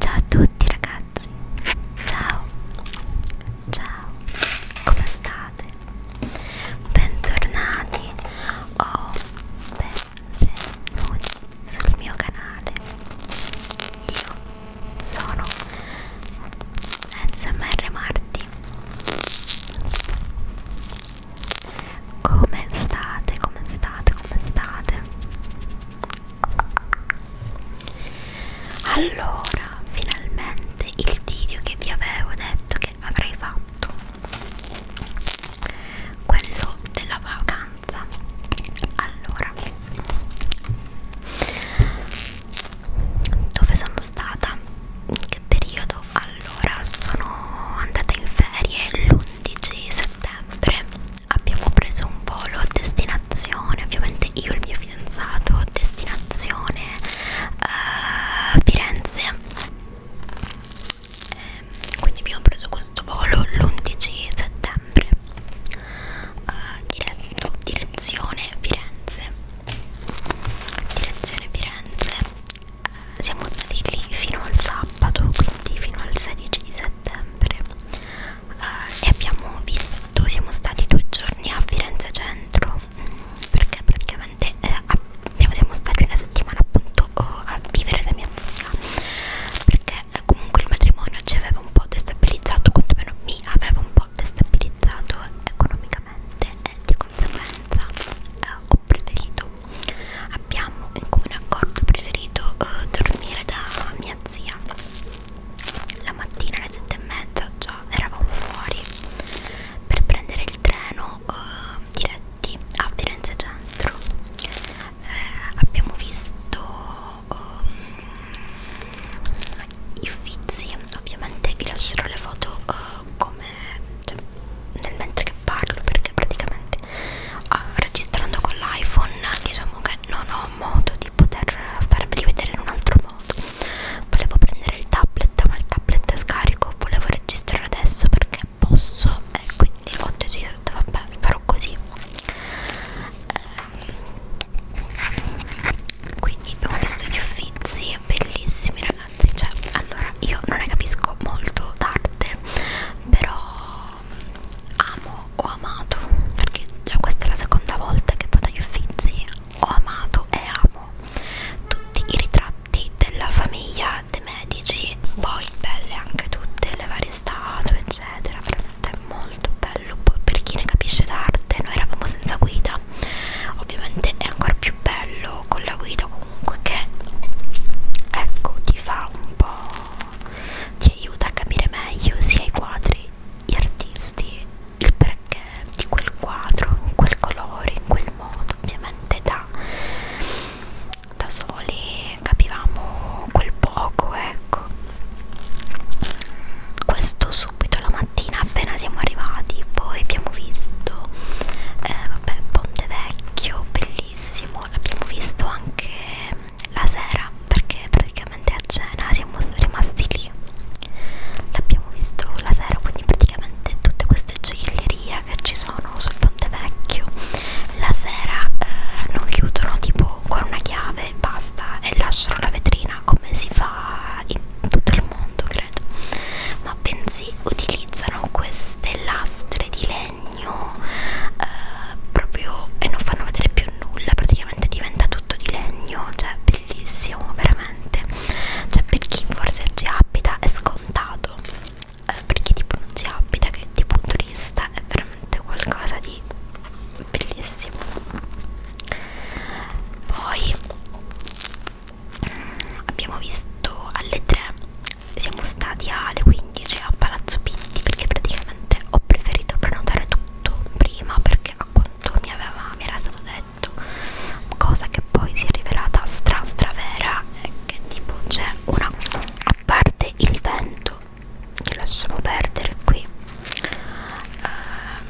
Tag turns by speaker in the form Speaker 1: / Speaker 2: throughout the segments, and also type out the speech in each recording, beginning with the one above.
Speaker 1: Ciao a tutti ragazzi, ciao, ciao, come state? Bentornati o benvenuti sul mio canale. Io sono SMR Marti. Come state? Come state? Come state? allora finalmente il video che vi avevo detto che avrei fatto quello della vacanza allora dove sono stata in che periodo allora sono andata in ferie l'11 settembre abbiamo preso un volo destinazione, ovviamente io e il mio fidanzato, destinazione uh, Firenze. E ehm, quindi abbiamo preso questo volo l'11 settembre, uh, diretto, direzione Firenze. Direzione Firenze, uh, siamo stati lì fino al sabato, quindi fino al 16 di settembre eh, e abbiamo visto, siamo stati due giorni a Firenze Centro mm, perché praticamente eh, abbiamo, siamo stati una settimana appunto oh, a vivere da mia zia perché eh, comunque il matrimonio ci aveva un po' destabilizzato, quantomeno mi aveva un po' destabilizzato economicamente e di conseguenza eh, ho preferito, abbiamo in comune accordo preferito eh, dormire da mia zia la mattina alle 7 e mezza già eravamo fuori per prendere il treno uh, diretti a Firenze Centro eh, abbiamo visto um, i Uffizi ovviamente vi lascerò le foto uh, come cioè, nel mentre che parlo perché praticamente uh, registrando con l'iPhone diciamo che non ho modo di poter farveli vedere in un altro modo volevo prendere il tablet ma il tablet è scarico volevo registrare adesso perché posso e eh, quindi ho deciso vabbè farò così eh, quindi abbiamo visto gli uffizi bellissimi ragazzi cioè allora io non ne capisco molto d'arte però amo, ho amato, perché già questa è la seconda volta che vado agli Uffizi, ho amato e amo tutti i ritratti della famiglia dei Medici, poi belle anche tutte le varie statue eccetera, veramente molto bello, poi per chi ne capisce d'arte, noi eravamo senza guida, ovviamente è ancora più bello con la guida comunque che ecco ti fa un po' ti aiuta a capire meglio sia i quadri, gli artisti, il perché di quel quadro, in quel colore, in quel modo. Ovviamente da, da soli capivamo quel poco, ecco. Questo subito la mattina appena siamo arrivati, poi abbiamo visto eh, vabbè, Ponte Vecchio, bellissimo, l'abbiamo visto anche la sera perché praticamente a cena siamo rimasti lì l'abbiamo visto la sera quindi praticamente tutte queste gioiellerie che ci sono sul Ponte Vecchio la sera eh, non chiudono tipo con una chiave e basta e lasciano la vetrina come si fa in tutto il mondo credo ma bensì utilizzano queste lastre di legno eh, proprio e non fanno vedere più nulla praticamente praticamente diventa tutto di legno cioè bellissimo veramente cioè per chi forse ci abita è scontato eh, per chi tipo non ci abita che è tipo un turista è veramente qualcosa di bellissimo poi mm, abbiamo visto alle 3 siamo stati alle 15 a Palazzo Pitti perché praticamente ho preferito prenotare tutto fatto prima perché a quanto mi, aveva, mi era stato detto cosa che poi si è rivelata stra stra vera è che tipo c'è una a parte il vento che lasciamo perdere qui uh,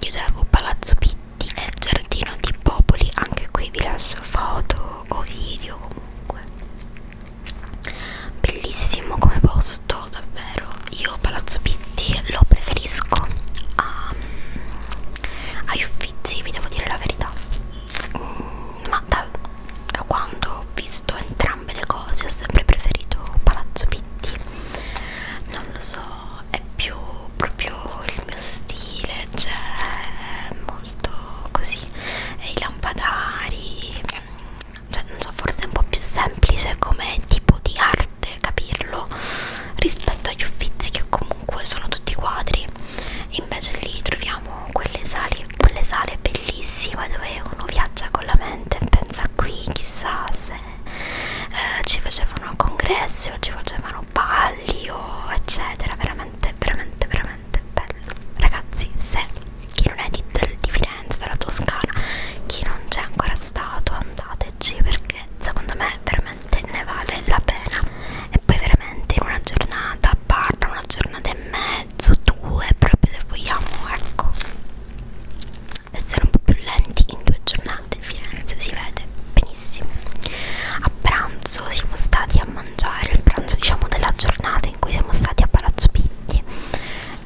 Speaker 1: io avevo palazzo pitti e giardino di popoli anche qui vi lascio foto o video comunque bellissimo come posto davvero io Palazzo Pitti lo preferisco a, agli Uffizi vi devo dire la verità mm, ma da, da quando ho visto entrambe le cose ho sempre preferito Palazzo Pitti non lo so è più proprio il mio stile cioè molto così e i lampadari cioè non so forse è un po' più semplice come tipo di arte capirlo rispetto agli uffizi che comunque sono tutti quadri invece lì troviamo quelle sale, quelle sale bellissime dove uno viaggia con la mente pensa qui chissà se eh, ci facevano congressi o ci facevano balli o eccetera veramente veramente veramente bello ragazzi se chi non è di, di Firenze, della Toscana, chi non c'è ancora stato, andateci perché secondo me veramente ne vale la pena. E poi veramente in una giornata, parla una giornata e mezzo, due, proprio se vogliamo, ecco, essere un po' più lenti in due giornate. Firenze si vede benissimo. A pranzo siamo stati a mangiare il pranzo diciamo della giornata in cui siamo stati a Palazzo Pitti.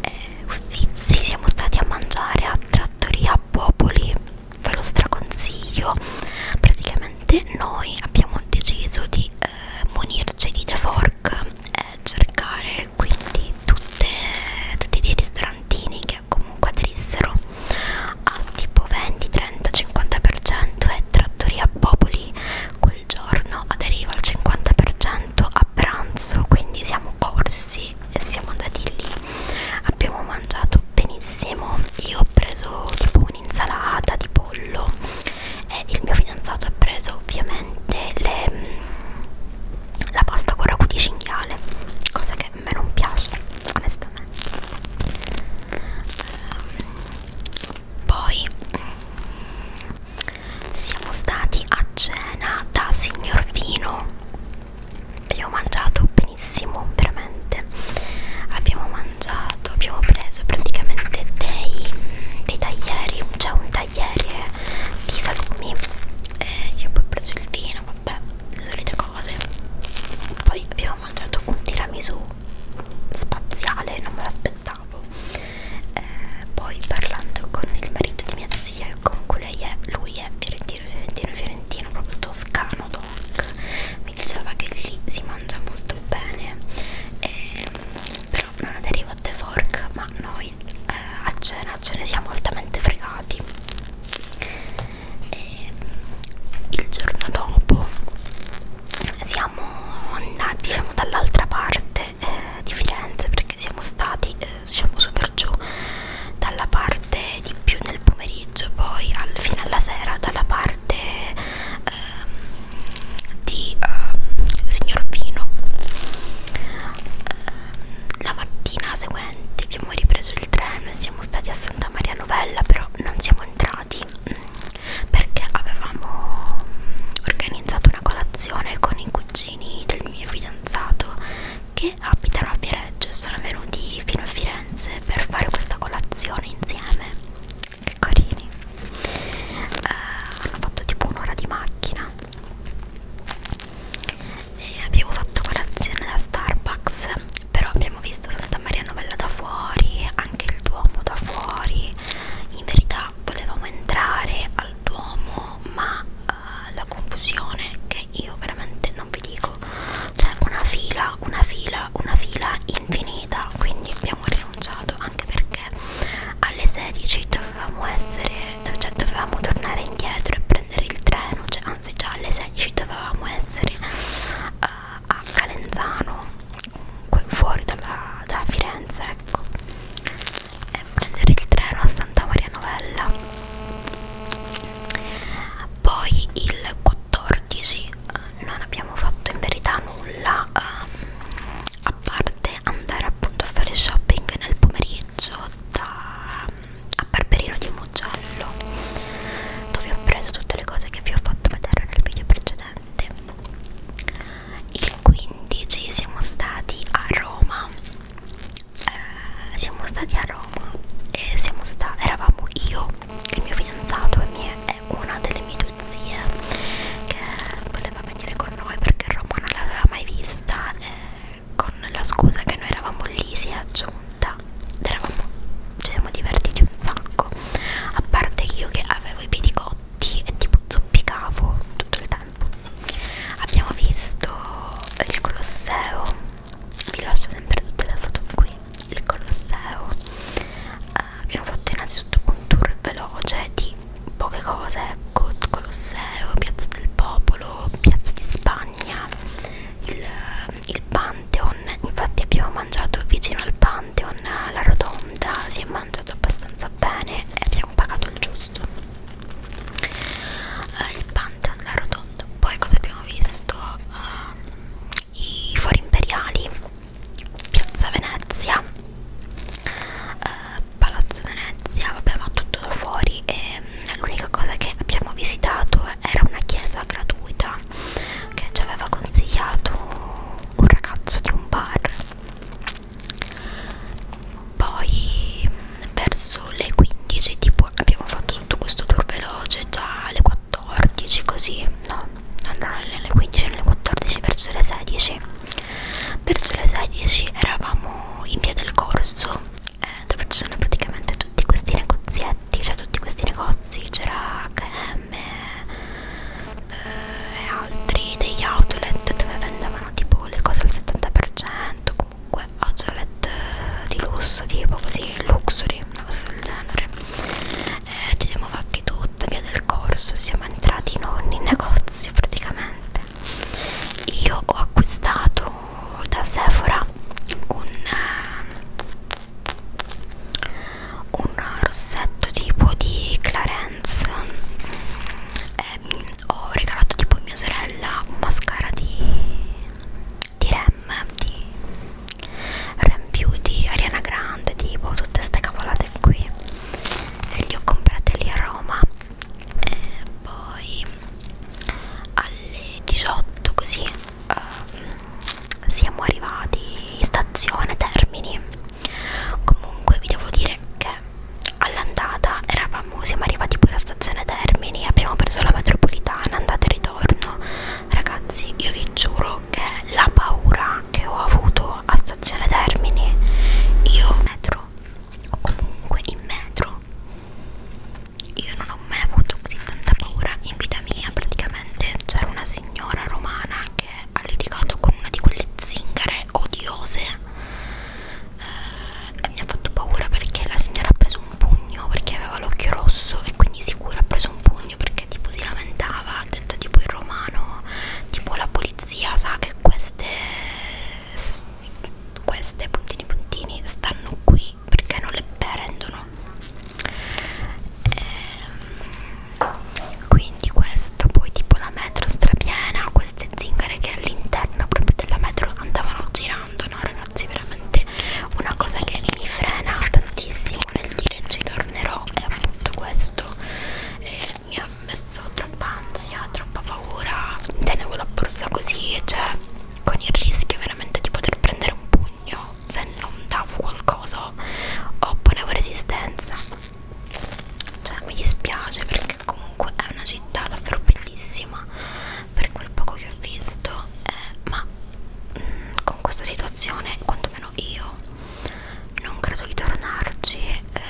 Speaker 1: E Uffizi siamo stati a mangiare a Trattoria Popoli ve lo straconsiglio praticamente noi abbiamo deciso di eh, munirci di The Fork e cercare quindi tutte, tutti dei ristorantini che comunque aderissero a tipo 20, 30, 50% e Trattoria Popoli quel giorno aderiva al 50% a pranzo quindi siamo corsi e siamo andati lì abbiamo mangiato benissimo io ho preso tipo un'insalata di pollo e il mio fidanzato ha preso ovviamente le, mm, la pasta con ragù di cinghiale cosa che a me non piace onestamente ehm, poi mm, siamo stati a cena da signor Vino abbiamo mangiato benissimo veramente abbiamo mangiato abbiamo preso praticamente dei, dei taglieri c'è cioè un tagliere di salumi e io poi ho preso il vino vabbè le solite cose poi abbiamo mangiato un tiramisù spaziale non me l'aspettavo eh, poi parlando con il marito di mia zia comunque lei è, lui è fiorentino fiorentino fiorentino proprio toscano doc mi diceva che lì si mangia molto bene eh, però non aderiva a The Fork ma noi eh, a cena ce ne siamo altamente fregati e il giorno dopo siamo andati diciamo dall'altra parte eh, di Firenze perché siamo stati eh, diciamo su per giù dalla parte di più nel pomeriggio poi al, fino alla sera dalla parte eh, di eh, signor Vino eh, la mattina seguente abbiamo ripreso il treno e siamo stati a Santa Maria Novella però non siamo entrati mm, perché avevamo mm, organizzato una colazione con i cugini cugini del mio fidanzato che abitano a Viareggio e sono venuti fino a Firenze per fare questa colazione insieme. Che carini! Eh, hanno fatto tipo un'ora di macchina e abbiamo fatto colazione da Starbucks, però abbiamo visto Santa Maria Novella da fuori, anche il Duomo da fuori. In verità volevamo entrare al Duomo, ma uh, la confusione che io veramente non vi dico cioè una fila una fila una fila infinita quindi abbiamo rinunciato anche perché alle 16 dovevamo essere cioè dovevamo tornare indietro e prendere il treno cioè, anzi già alle 16 dovevamo essere uh, a Calenzano fuori dalla, da Firenze ecco e prendere il treno a Santa Maria Novella poi il 14 eh, non abbiamo fatto in verità nulla um, a parte andare appunto a fare shopping nel pomeriggio da, a Barberino di Mugello dove ho preso tutte le cose che vi ho fatto vedere nel video precedente il 15 siamo stati a Roma eh, siamo stati a Roma e siamo sta eravamo io, il mio fidanzato e mie, una delle mie due zie che voleva venire con noi perché Roma non l'aveva mai vista eh, con la scusa che noi eravamo lì si è aggiunta eravamo, ci siamo divertiti un sacco a parte io che avevo i piedi cotti e tipo zoppicavo tutto il tempo tempo abbiamo visto il Colosseo vi lascio sempre tutte le foto qui il Colosseo uh, abbiamo fatto innanzitutto un tour veloce di poche cose ecco Colosseo, Piazza del Popolo Piazza di Spagna il, il Pantheon infatti abbiamo mangiato vicino al Pantheon la rotonda si è mangiato abbastanza bene e abbiamo pagato il giusto eh, il Pantheon, la rotonda. Poi cosa abbiamo visto? Eh, I Fori Imperiali, Piazza Venezia, eh, Palazzo Venezia, vabbè ma tutto da fuori e mm, l'unica cosa che abbiamo visitato era una chiesa gratuita che ci aveva consigliato un ragazzo di un bar poi verso le 15 tipo abbiamo fatto tutto questo tour veloce già alle 14 così no allora alle 15 alle 14 verso le 16 verso le 16 eravamo in via del corso eh, dove ci sono praticamente tutti questi negozietti cioè tutti questi negozi c'era HM e altri degli outlet dove vendevano tipo le cose al 70% comunque oggi ho letto eh, di lusso tipo così luxury una cosa del genere eh, ci siamo fatti tutta via del corso siamo entrati in ogni negozio praticamente io ho acquistato da Sephora un, eh, un rossetto tipo di Clarence eh, ho regalato tipo a mia sorella un mascara di, di Rem di Rem Beauty, Ariana Grande tipo tutte queste cavolate qui e li ho comprate lì a Roma e poi alle 18 così uh, siamo arrivati in stazione Termini comunque vi devo dire che all'andata eravamo, siamo arrivati pure a stazione Termini, abbiamo preso la metropolitana, andata e ritorno. Ragazzi, io vi giuro che la paura che ho avuto a stazione Termini, io metro o comunque in metro, io non ho mai avuto così tanta paura in vita mia. Praticamente c'era una signora romana che ha litigato con una di quelle zingare odiose eh, mi ha fatto paura perché la signora ha preso un pugno perché aveva l'occhio rosso e quindi sicuro ha preso un pugno perché tipo si lamentava, ha detto tipo in romano, tipo la polizia sa che queste, queste puntini puntini stanno qui perché non le prendono. E, ehm, quindi questo, poi tipo la metro strapiena, queste zingare che all'interno proprio della metro andavano girando no ragazzi veramente una cosa che mi frena tantissimo nel dire ci tornerò è appunto questo eh, mi ha messo troppa ansia troppa paura tenevo la borsa così cioè con il rischio veramente di poter prendere un pugno se non davo qualcosa o ponevo resistenza cioè mi dispiace perché che comunque è una città davvero bellissima per quel poco che ho visto eh, ma mh, mm, con questa situazione quantomeno io non credo di tornarci eh,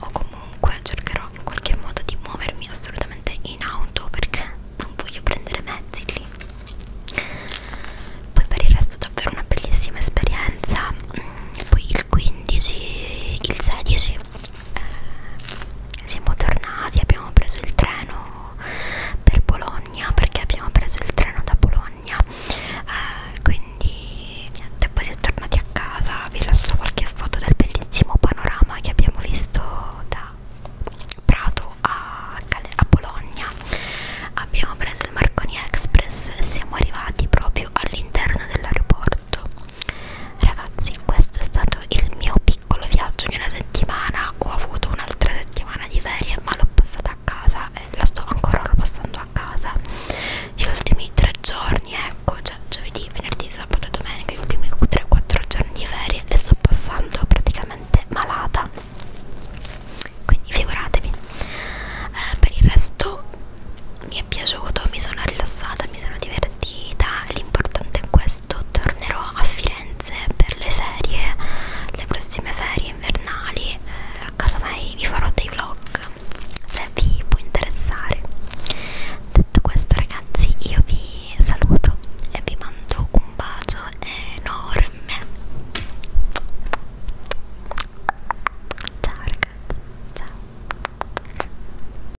Speaker 1: o comunque cercherò in qualche modo di muovermi assolutamente in auto perché non voglio prendere mezzi lì poi per il resto davvero una bellissima esperienza mm, poi il 15 il 16 eh, siamo tornati, abbiamo preso il treno per Bologna perché abbiamo preso il treno da Bologna eh, quindi niente, poi siamo tornati a casa, vi lascio qualche foto del bellissimo panorama che abbiamo visto da Prato a, a Bologna abbiamo preso il Marconi Express e siamo arrivati proprio all'interno dell'aeroporto Ragazzi, questo è stato il mio piccolo viaggio di una settimana. Ho avuto un'altra settimana di ferie, ma l'ho passata a casa e la sto ancora passando a casa. Gli ultimi tre giorni, ecco, cioè giovedì, venerdì, sabato e domenica, gli ultimi 3-4 giorni di ferie e sto passando praticamente malata. Quindi figuratevi. Eh, per il resto mi è piaciuto, mi sono rilassata, mi sono divertita partita, l'importante è questo, tornerò a Firenze per le ferie, le prossime ferie invernali, eh, a casa mai vi farò dei vlog se vi può interessare. Detto questo ragazzi io vi saluto e vi mando un bacio enorme. Ciao ragazzi, ciao.